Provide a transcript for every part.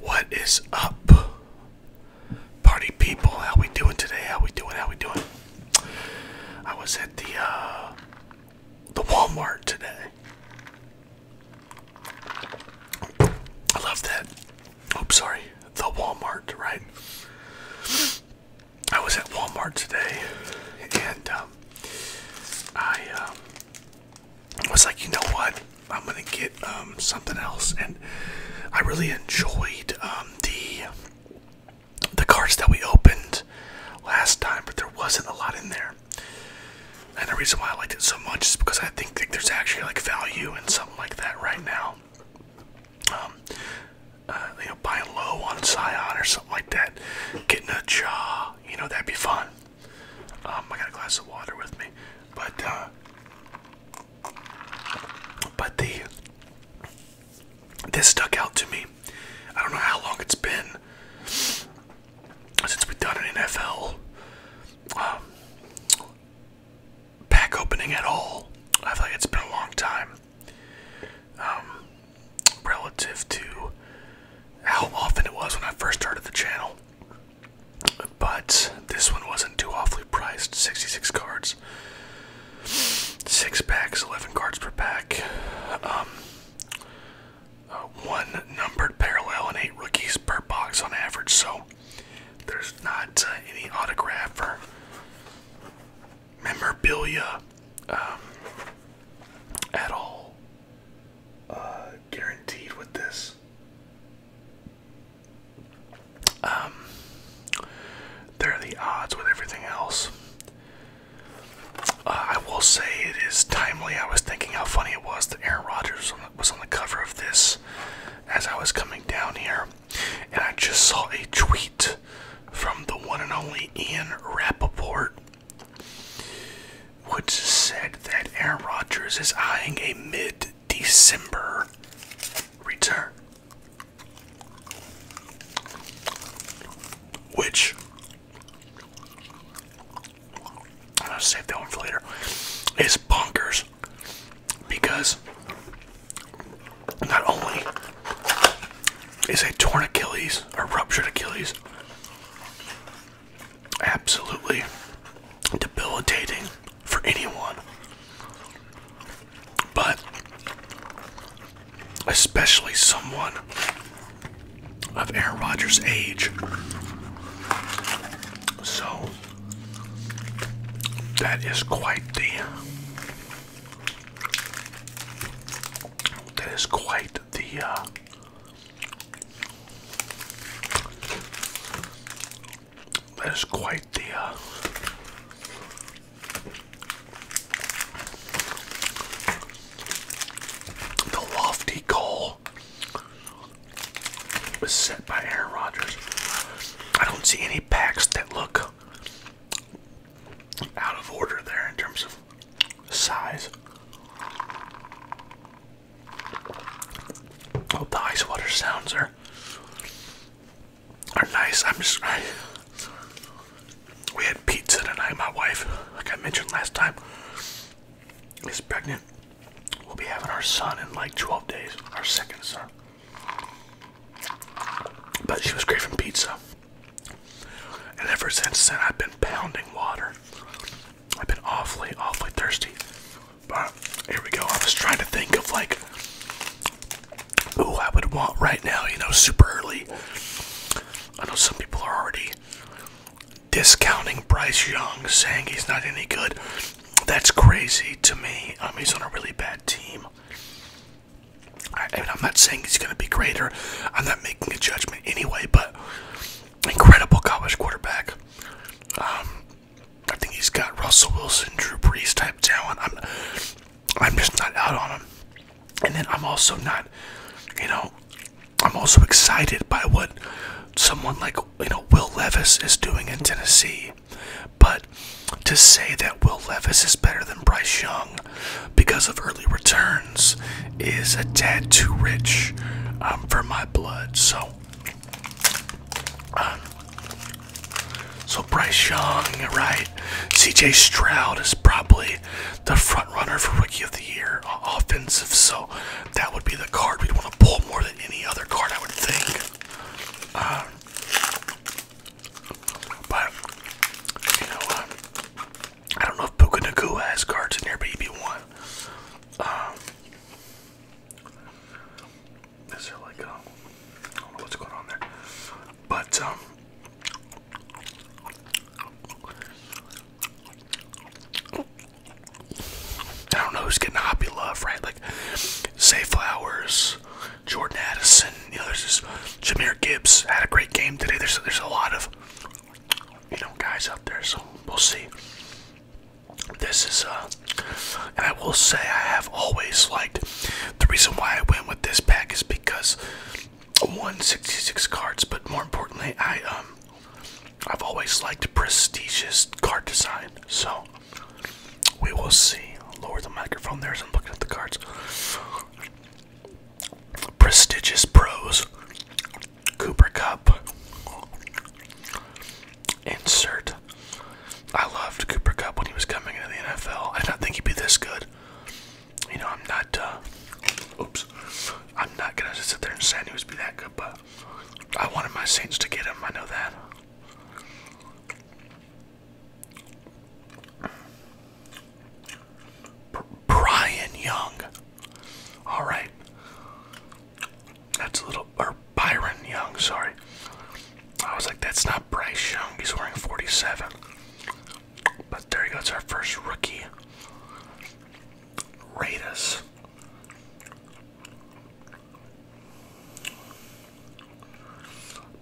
What is up, party people? How we doing today? How we doing? How we doing? I was at the uh, the Walmart today. I love that. Oops, sorry. The Walmart, right? I was at Walmart today, and um, I um, I was like, you know what? I'm gonna get um, something else, and I really enjoyed um, the the cards that we opened last time, but there wasn't a lot in there. And the reason why I liked it so much is because I think that there's actually like value in something like that right now. Um, uh, you know, buying low on Scion or something like that, getting a job. you know, that'd be fun. Um, I got a glass of water with me, but uh, but the this stuck out to me. I don't know how long it's been since we've done an NFL um, pack opening at all. I feel like it's been a long time. Um, relative to how often it was when I first started the channel. But this one wasn't too awfully priced 66 cards, 6 packs, 11 cards per pack, um, uh, one numbered parallel, and 8 rookies per box on average. So there's not uh, any autograph or memorabilia um, at all uh, guaranteed with this. Um, there are the odds with everything else. Uh, I will say it is timely. I was thinking how funny it was that Aaron Rodgers was on the cover of this as I was coming down here, and I just saw a tweet from the one and only Ian Rappaport. Woods said that Aaron Rodgers is eyeing a mid December return. Which I'm gonna save that one for later. Is bonkers because not only is a torn Achilles or ruptured Achilles absolutely debilitating for anyone, but especially someone of Aaron Rodgers' age. So that is quite the that is quite the uh, that is quite the uh, the lofty goal was set by Aaron Rodgers. I don't see any packs that look out of order there in terms of size. Oh, the ice water sounds are are nice. I'm just we had pizza tonight. My wife, like I mentioned last time, is pregnant. We'll be having our son in like 12 days, our second son. But she was great from pizza, and ever since then I've been pounding water. I've been awfully, awfully thirsty. But here we go. I was trying to think of like, who I would want right now, you know, super early. I know some people are already discounting Bryce Young, saying he's not any good. That's crazy to me. he's on a really bad team. I, I'm not saying he's going to be greater. I'm not making a judgment anyway, but incredible college quarterback. Um, I think he's got Russell Wilson, Drew Brees type talent. I'm, I'm just not out on him. And then I'm also not, you know, I'm also excited by what someone like you know Will Levis is doing in Tennessee. But to say that Will Levis is better than Bryce Young because of early returns is a tad too rich um, for my blood. So so Bryce Young, right? CJ Stroud is probably the front runner for Rookie of the Year uh, offensive, so that would be the card we'd want to pull more than any other card, I would think. Uh, but, you know, um, I don't know if Puka Nakua has cards in there, but he'd be one. Um, is there like, um, I don't know what's going on there. But, um, I don't know who's getting happy love, right? Like, Say Flowers, Jordan Addison, you know, there's this, Jameer Gibbs had a great game today. There's, there's a lot of, you know, guys out there, so we'll see this is uh and I will say I have always liked the reason why I went with this pack is because one sixty-six cards, but more importantly, I um I've always liked prestigious card design. So we will see. Lower the microphone there I'm looking at the cards. Prestigious pros Cooper Cup. Insert. I loved Cooper Cup when he was coming into the NFL. I did not think he'd be this good. You know, I'm not. Uh, oops. I'm not gonna sit there and say he was be that good, but I wanted my Saints to get him. I know that. Brian Young. All right. That's a little, or Byron Young, sorry. I was like, that's not Bryce Young, he's wearing 47. But there you go, it's our first rookie. Raiders.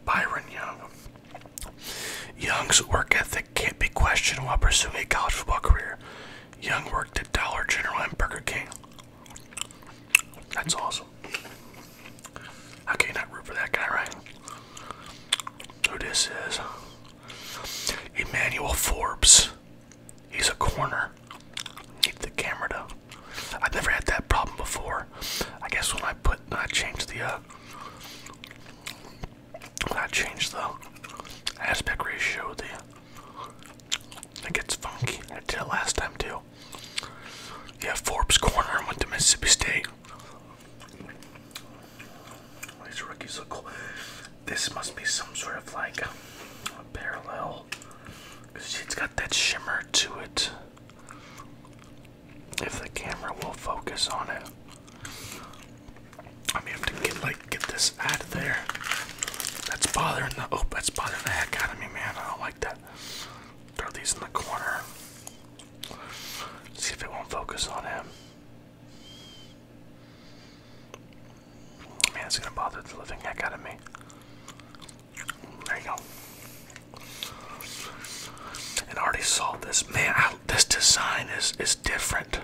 Byron Young. Young's work ethic can't be questioned while pursuing a college football career. Young worked at Dollar General and Burger King. That's awesome. How can you not root for that guy, right? Who this is? Emmanuel Forbes. He's a corner. Need the camera to. I've never had that problem before. I guess when I put, I changed the, uh, when I changed the aspect ratio, the it gets funky. I did it last time too. Yeah, Forbes Corner went to Mississippi State. These rookies look cool. This must be some sort of like a parallel. It's got that shimmer to it. If the camera will focus on it. I am have to get like get this out of there. That's bothering the oh that's bothering the heck out of me, man. I don't like that. Throw these in the corner. See if it won't focus on him. Man, it's gonna bother the living heck out of me. There you go. And already saw this. Man, this design is is different.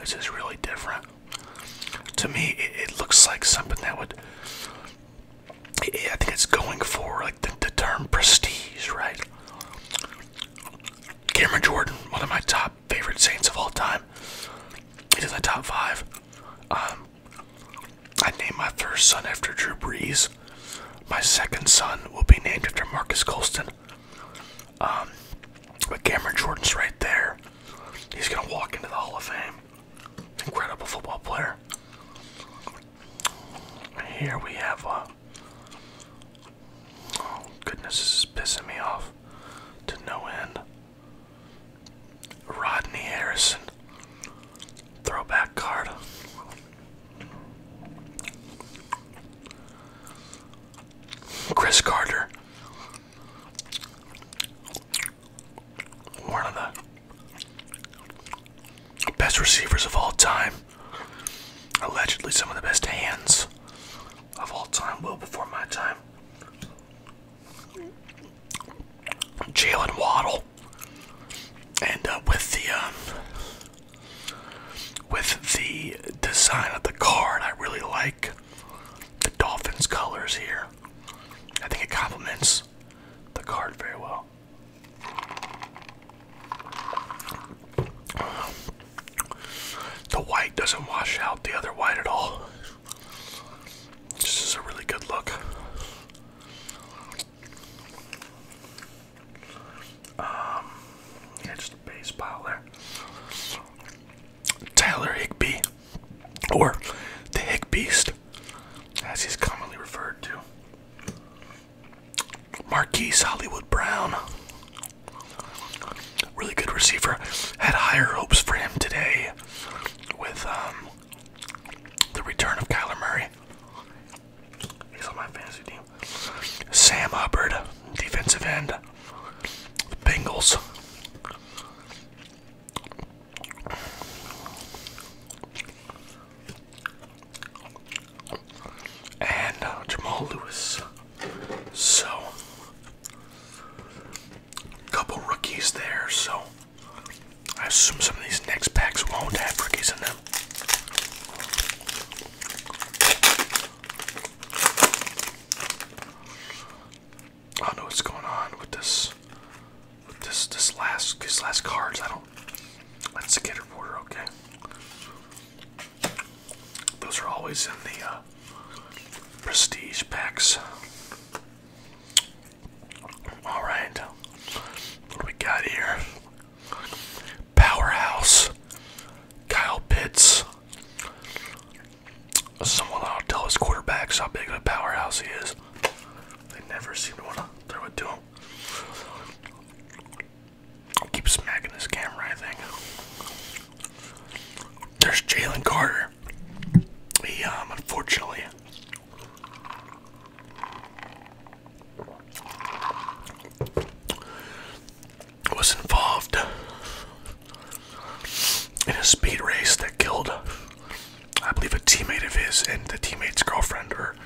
This is really different. To me, it, looks like something that would. I think it's going for like the, term prestige, right? Cameron Jordan, one of my top favorite Saints of all time. He's in the top five. Um, I named my first son after Drew Brees. My second son will be named after Marcus Colston. Um, but Cameron Jordan's right there. He's gonna walk into the Hall of Fame. Incredible football player. Here we have uh, Oh goodness, this is pissing me off to no end. Rodney Harrison. Throwback card. Chris Carter. One of the best receivers of all time. Allegedly, some of the best hands of all time, well before my time. Jalen Waddle. And uh, with the um, with the design of the car, I really like the Dolphins colors here. I think it complements the card very well. The white doesn't wash out the other white at all. This is a really good look. Um, yeah, just a base pile there. Tyler Higby, or the Hig Beast, as he's commonly referred to. Marquise Hollywood Brown, really good receiver. Had higher hopes for him today with um, the return of Kyler Murray. He's on my fantasy team. Sam Hubbard, defensive end. Bengals. And Jamal Lewis. So, couple rookies there. So, I assume some of these next packs won't have rookies in them. I don't know what's going on with this with this this last this last cards. I don't let's get a border, okay. Those are always in the uh, prestige packs. Alright. What we got here? Powerhouse Kyle Pitts. Someone ought to tell his quarterbacks how big of a powerhouse he is. They never seem to want to throw it to him. keep smacking this camera, I think. There's Jalen Carter. He, um, unfortunately, was involved in a speed race that killed, I believe, a teammate of his and the teammate's girlfriend or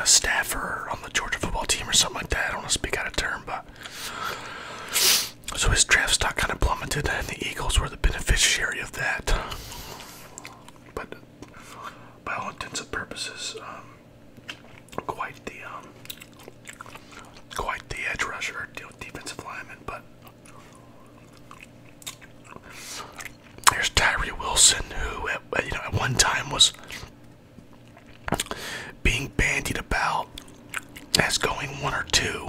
a staffer on the Georgia football team or something like that. I don't want to speak out of turn, but. So his draft stock kind of plummeted, and the Eagles were the beneficiary of that. But by all intents and purposes, um, quite the um, quite the edge rusher, defensive lineman. But there's Tyree Wilson, who you know at one time was being bandied about as going one or two,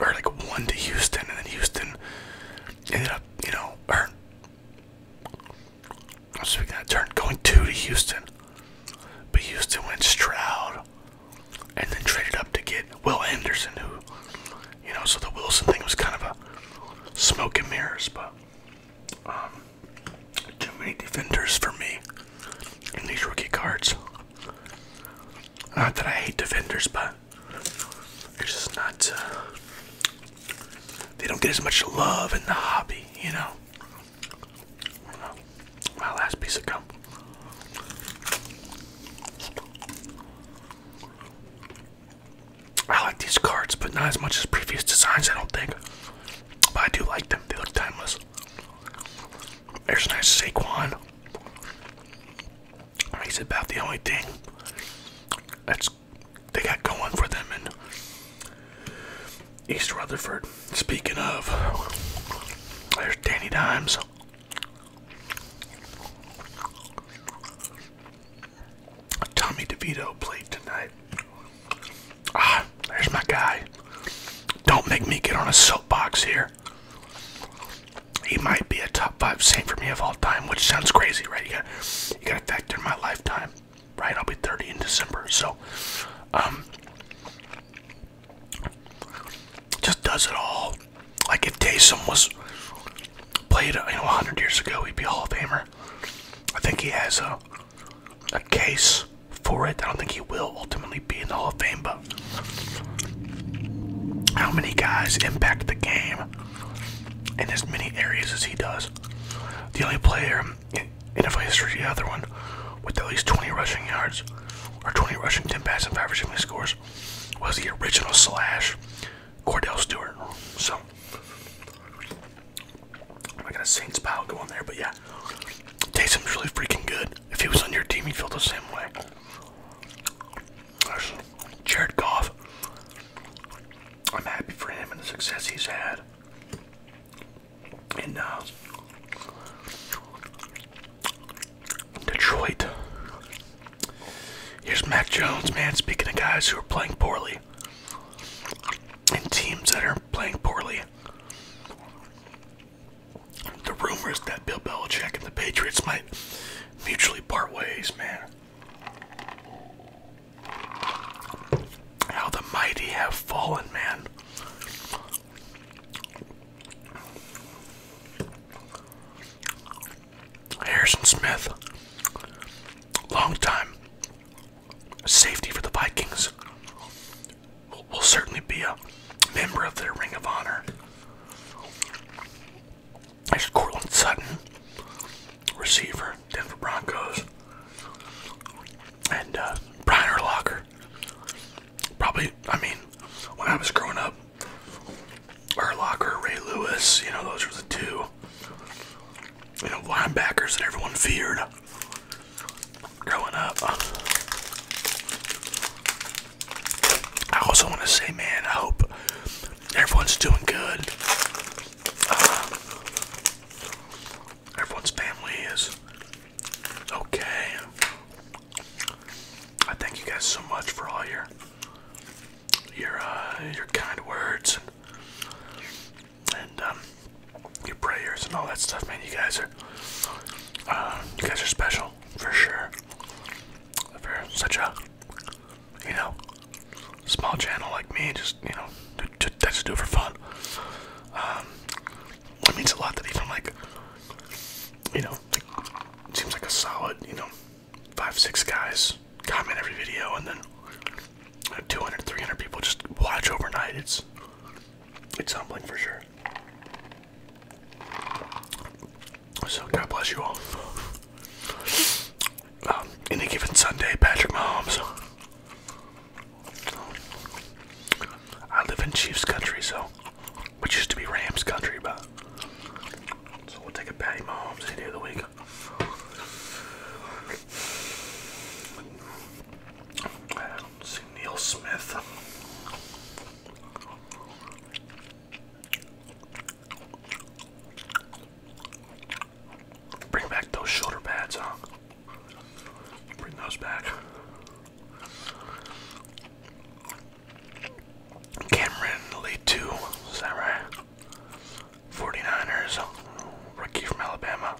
or like one to Houston, and then Houston ended up, you know, so we got turn going two to Houston. But Houston went Stroud and then traded up to get Will Anderson, who, you know, so the Wilson thing was kind of a smoke and mirrors, but um, too many defenders for me in these rookie cards. Not that I hate defenders, but it's just not. Uh, they don't get as much love in the hobby, you know. My last piece of gum. I like these cards, but not as much as previous designs, I don't think. But I do like them, they look timeless. There's a nice Saquon. He's about the only thing that's they got going for them in East Rutherford. Speaking of, there's Danny Dimes. Tommy DeVito played tonight. Ah, there's my guy. Don't make me get on a soapbox here. He might be a top five saint for me of all time, which sounds crazy, right? You got a you factor in my lifetime right? I'll be 30 in December. So, um, just does it all. Like if Taysom was played, you know, 100 years ago, he'd be Hall of Famer. I think he has a, a case for it. I don't think he will ultimately be in the Hall of Fame, but how many guys impact the game in as many areas as he does? The only player in, NFL history, the other one with at least 20 rushing yards or 20 rushing, 10 passes, and 5 receiving scores was the original slash Cordell Stewart. So, I got a Saints pile going there, but yeah, Taysom's really freaking good. If he was on your team, you would feel the same way. Jared Goff. I'm happy for him and the success he's had. And uh, Detroit. Here's Mac Jones, man. Speaking of guys who are playing poorly and teams that are playing poorly, the rumors that Bill Belichick and the Patriots might mutually part ways, man. How the mighty have fallen, man. Harrison Smith, long time safety for the Vikings, will certainly be a member of their Ring of Honor. There's Cortland Sutton, receiver, Denver Broncos, and uh, Brian Urlacher. Probably, I mean, when I was growing up, Urlacher, Ray Lewis, you know, those were the two, you know, linebackers that everyone feared growing up. I also want to say, man, I hope everyone's doing good. Uh, Everyone's family is okay. I thank you guys so much for all your your uh, your kind words and, and um, your prayers and all that stuff, man. You guys are uh, you guys are special for sure. For such a you know small channel like me, just you know, to, just do it for fun. Um, it means a lot that even like, you know, it seems like a solid, you know, five six guys comment every video, and then uh, 200 300 people just watch overnight. It's it's humbling for sure. So God bless you all. Um, any given Sunday, Patrick Mahomes. I live in Chiefs country, so which used to be Rams country, but so we'll take a Patty Mahomes any of the week. I don't see Neil Smith. Bring back those shoulder pads, huh? Bring those back. Cameron Lee 2, is that right? 49ers, rookie from Alabama.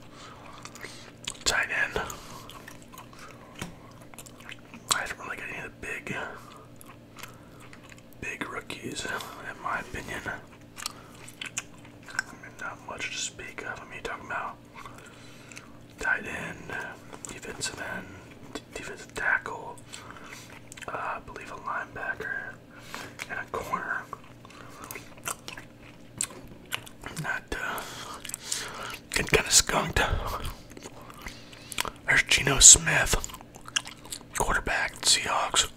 Tight end. I don't really get any of the big, big rookies, in my opinion not much to speak of. I am talking about tight end, defensive end, defensive tackle, uh, I believe a linebacker, and a corner. Not uh, getting kind of skunked. There's Geno Smith, quarterback, Seahawks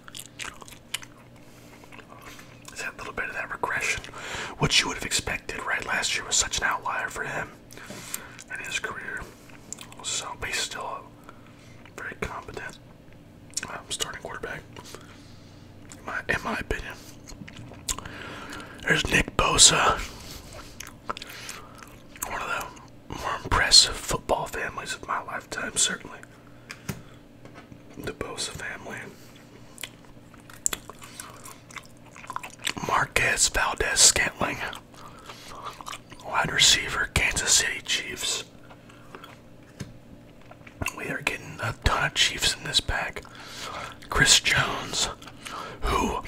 that little bit of that regression? What you would have expected, right? Last year was such an outlier for him and his career. So, he's still a very competent um, starting quarterback, in my, in my opinion. There's Nick Bosa, one of the more impressive football families of my lifetime, certainly the Bosa family. Marquez Valdez Scantling, wide receiver, Kansas City Chiefs. We are getting a ton of Chiefs in this pack. Chris Jones, who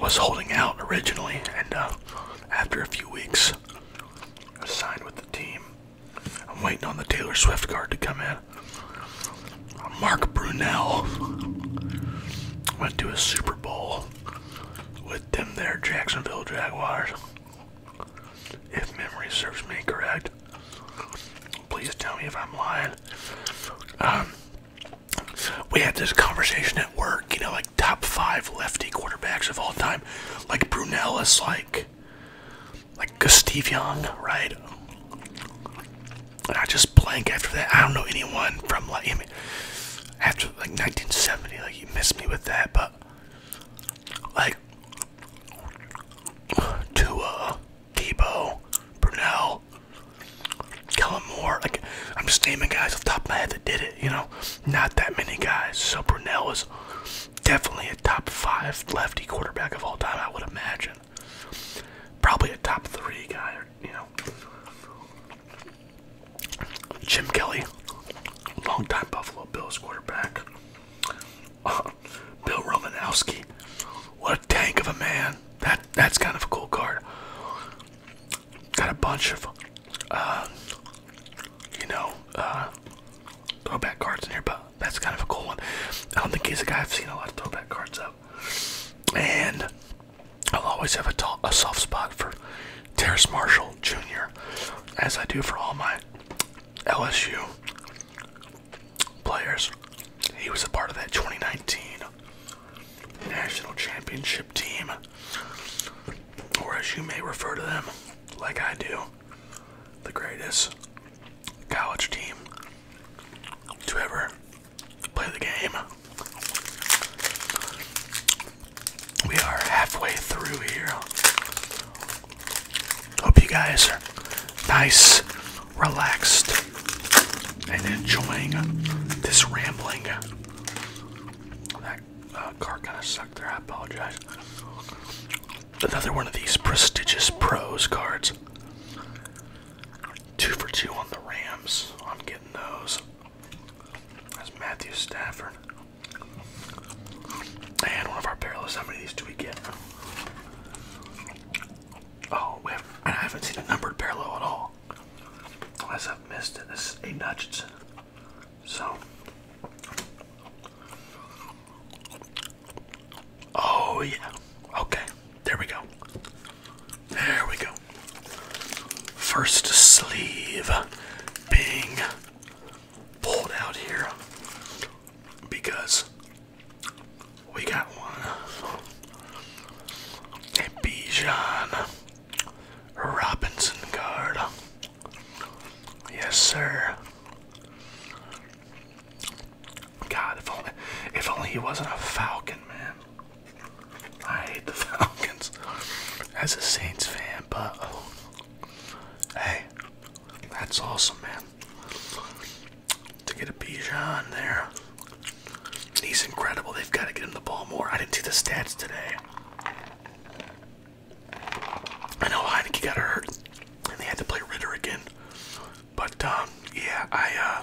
was holding out originally, and uh, after a few weeks, signed with the team. I'm waiting on the Taylor Swift card to come in. Mark Brunell went to a Super Bowl with them there Jacksonville Jaguars. If memory serves me correct, please tell me if I'm lying. Um, we had this conversation at work, you know, like top five lefty quarterbacks of all time. Like Brunell is like like like Young, right? I just blank after that. I don't know anyone from like after like 1970. Like you missed me with that, but like Tua, Debo, Brunel, Kellen Moore. Like I'm just naming guys off top of my head that did it. You know, not that many guys. So Brunell is Definitely a top five lefty quarterback of all time, I would imagine. Probably a top three guy, you know. Jim Kelly, longtime Buffalo Bills quarterback. Uh, Bill Romanowski, what a tank of a man. That that's kind of a cool card. Got a bunch of, uh, you know, uh, throwback cards in here, but that's kind of a cool one. I don't think he's a guy I've seen a lot of throwback cards of. And I'll always have a, soft spot for Terrence Marshall Jr., as I do for all my LSU players. He was a part of that 2019 National Championship team, or as you may refer to them, like I do, the greatest college team to ever play the game. We are halfway through here. Hope you guys are nice, relaxed, and enjoying this rambling. That uh, car kind of sucked there, I apologize. Another one of these prestigious pros cards. Two for two on the Rams. I'm getting those. That's Matthew Stafford. And one of our parallels. How many of these do we get? Oh, I haven't seen a numbered parallel at all. Unless I've missed it. This is Aiden Hutchinson. So, Oh, yeah. Okay. There we go. There we go. First sleeve being pulled out here because we got one. A Bijan Robinson card. Yes, sir. God, if only, if only he wasn't a Falcon, man. I hate the Falcons as a Saints fan, but oh. hey, that's awesome, man. To get a Bijan there, he's incredible. They've got to get him the ball more. I didn't do the stats today. I know Heineke got hurt, and they had to play Ritter again. But um, yeah, I uh,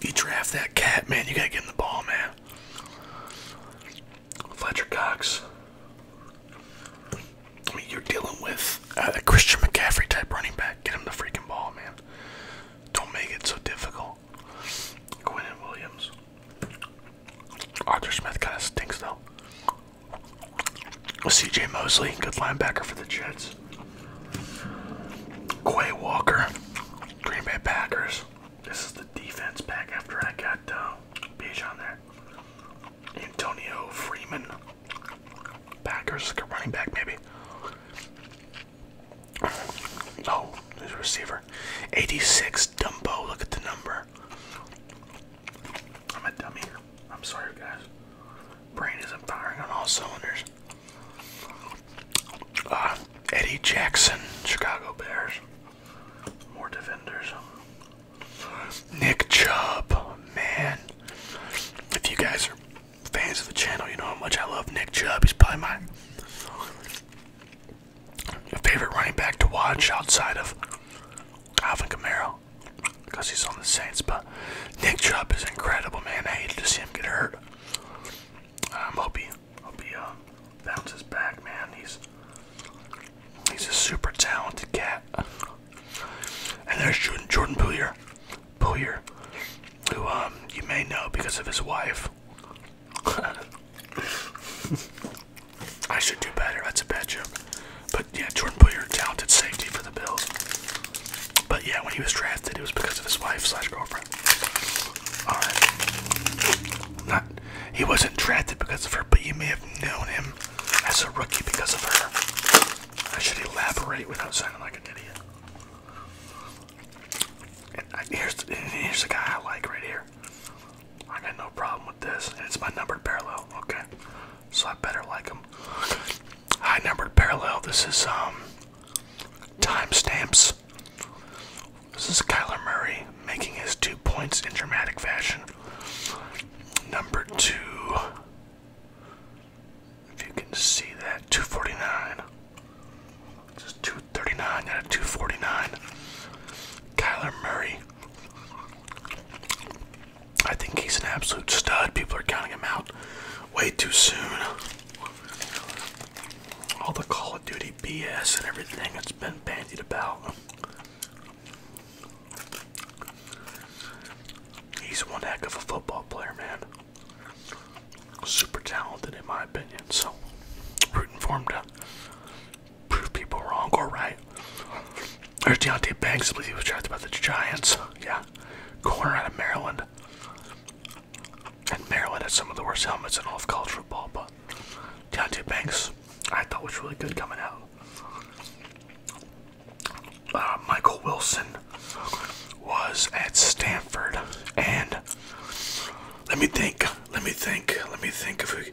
you draft that cat, man. You gotta get him the ball, man. Fletcher Cox. I mean, you're dealing with a Christian McCaffrey type running back. Get him the freaking ball, man. Don't make it so difficult. Quinn Williams. Arthur Smith kind of stinks though. CJ Mosley, good linebacker for the Jets. Quay Walker, Green Bay Packers. This is the defense pack after I got the uh, Beach on there. Antonio Freeman, Packers, good running back maybe. Oh, there's a receiver. 86 Dumbo, look at the number. I'm a dummy. I'm sorry, guys. Brain isn't firing on all cylinders. Uh, Eddie Jackson, Chicago Bears. More defenders. Nick Chubb, man. If you guys are fans of the channel, you know how much I love Nick Chubb. He's probably my favorite running back to watch outside of Alvin Kamara because he's on the Saints. But Nick Chubb is incredible, man. I hate to see him get hurt. I'm um, hoping he uh, bounces back, man. He's he's a super talented cat. And there's Jordan, Jordan Bouyer, who um, you may know because of his wife. I should do better. That's a bad joke. But yeah, Jordan Poyer, talented safety for the Bills. But yeah, when he was drafted, it was because of his wife slash girlfriend. All right. Not he wasn't drafted because of her, but you may have known him as a rookie because of her. I should elaborate without sounding like an idiot. And uh, here's, here's the guy I like right here. I got no problem with this. And it's my numbered parallel, okay? So I better like them. High numbered parallel. This is um timestamps. This is Kyler Murray making his two points in dramatic fashion. Number two, if you can see that, 249. This is 239 out of 249. Kyler Murray I think he's an absolute stud. People are counting him out way too soon. All the Call of Duty BS and everything that's been bandied about. He's one heck of a football player, man. Super talented, in my opinion. So, rooting for him to prove people wrong or right. There's Deontay Banks, I believe he was drafted by the Giants. Yeah, corner out of Maryland. And Maryland had some of the worst helmets in all of college football, but Deontay Banks, I thought was really good coming out. Uh, Michael Wilson was at Stanford, and let me think, let me think, let me think if we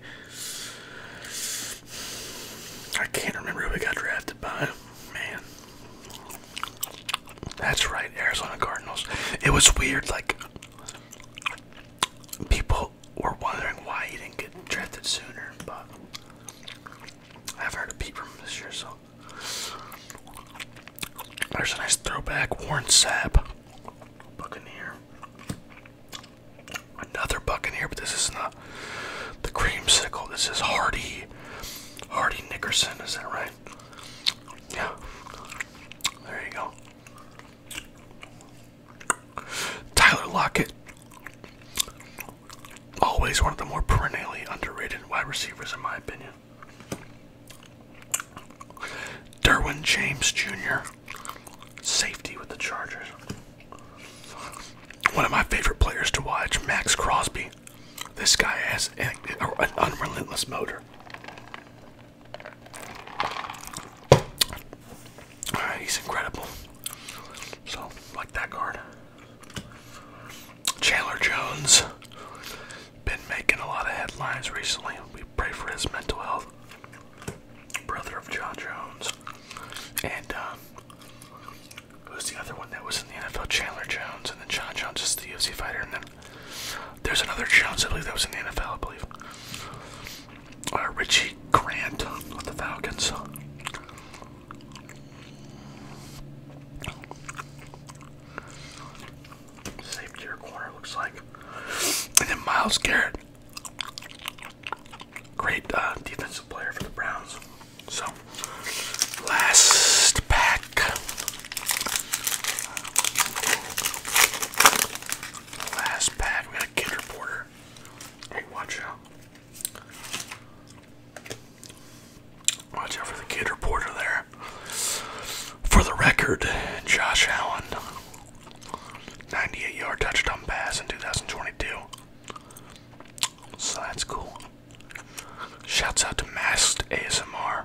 I can't remember who we got drafted by. Man. That's right, Arizona Cardinals. It was weird, like people were wondering why he didn't get drafted sooner, but I've heard a peep from him this year, so there's a nice throwback. Warren Sapp, Buccaneer. Another Buccaneer, but this is not the creamsicle. This is Hardy. Hardy Nickerson, is that right? Yeah. There you go. Tyler Lockett. Always one of the more perennially underrated wide receivers, in my opinion. Derwin James Jr., safety with the Chargers. One of my favorite players to watch, Max Crosby. This guy has an, unrelentless motor. Ah, he's incredible. So, like that card. Chandler Jones. Been making a lot of headlines recently. We pray for his mental health brother of John Jones, and um, who's the other one that was in the NFL? Chandler Jones, and then John Jones is the UFC fighter, and then there's another Jones I believe that was in the NFL, I believe. Uh, Richie Grant of the Falcons. Safety or corner looks like, and then Miles Garrett. Great uh, defensive player for the Browns. So, last pack. Last pack. We got kid reporter. Hey, watch out. Watch out for the kid reporter there. For the record, Josh Allen 98 yard touchdown pass in 2022. So that's cool. Shouts out to Masked ASMR.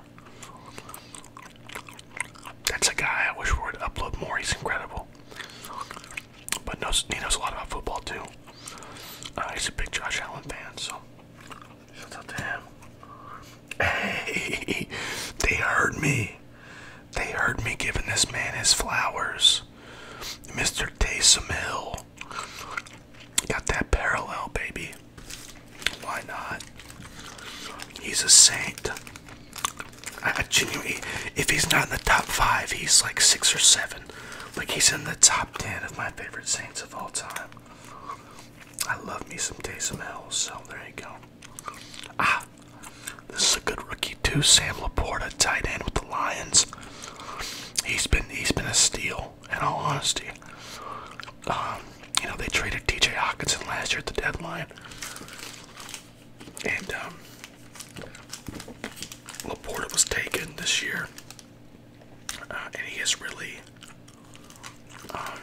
That's a guy I wish would upload more. He's incredible. But knows, he knows a lot about football too. Uh, he's a big Josh Allen fan, so shout out to him. Hey, they heard me. They heard me giving this man his flowers. Mr. Taysom Hill. Got that parallel, baby. Why not? He's a saint. I genuinely, if he's not in the top five, he's like six or seven. Like he's in the top ten of my favorite saints of all time. I love me some Taysom Hill, so there you go. Ah, this is a good rookie too, Sam Laporta, tight end with the Lions. He's been he's been a steal, in all honesty. Um, you know, they traded TJ Hawkinson last year at the deadline. And um, Laporta was taken this year. Uh, and he has really um,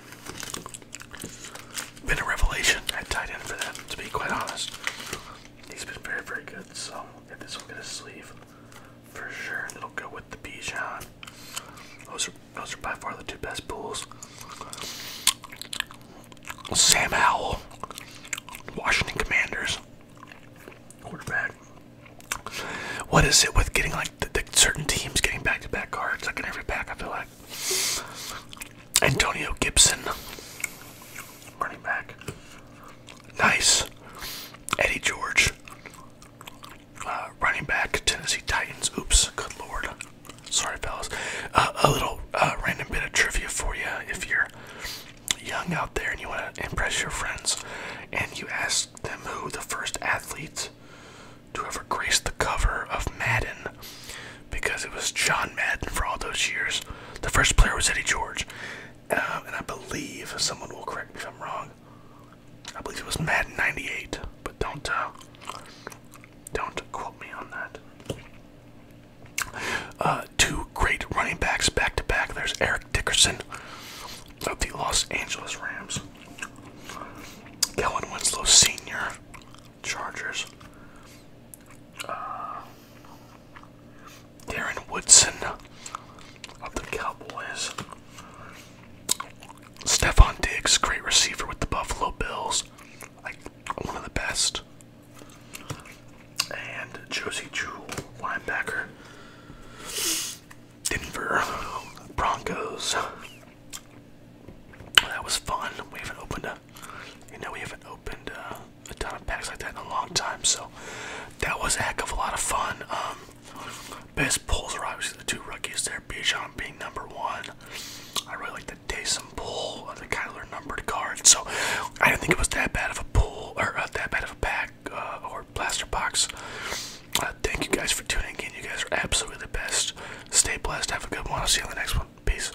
been a revelation at tight end for them, to be quite honest. He's been very, very good. So if this one get a sleeve for sure, it'll go with the Bijan. Those are those are by far the two best pools. Sam Howell, Washington Commanders quarterback. What is it with getting like the, certain teams getting back-to-back -back cards like in every pack? I feel like Antonio Gibson, running back. Nice. Eddie George, uh, running back, Tennessee Titans. Oops, good lord. Sorry, fellas. Uh, a little uh, random bit of trivia for you if you're young out there and you want to impress your friends and you ask them who the first athletes to ever grace the cover of Madden because it was John Madden for all those years. The first player was Eddie George. Um, and I believe someone will correct me if I'm wrong. I believe it was Madden 98, but don't uh, don't quote me on that. Uh, two great running backs back to back. There's Eric Dickerson of the Los Angeles Rams, Kellen Winslow Sr. Chargers, uh, Darren Woodson of the Cowboys. Stephon Diggs, great receiver with the Buffalo Bills, like one of the best. And Josie Jewell, linebacker. Denver Broncos. That was fun. We even opened up. You know, we haven't opened uh, a ton of packs like that in a long time, so that was a heck of a lot of fun. Um, best pulls were obviously the two rookies there, Bijan being number one. I really like the Taysom pull, the Kyler numbered card. So I didn't think it was that bad of a pull or uh, that bad of a pack uh, or blaster box. Uh, thank you guys for tuning in. You guys are absolutely the best. Stay blessed. Have a good one. I'll see you in the next one. Peace.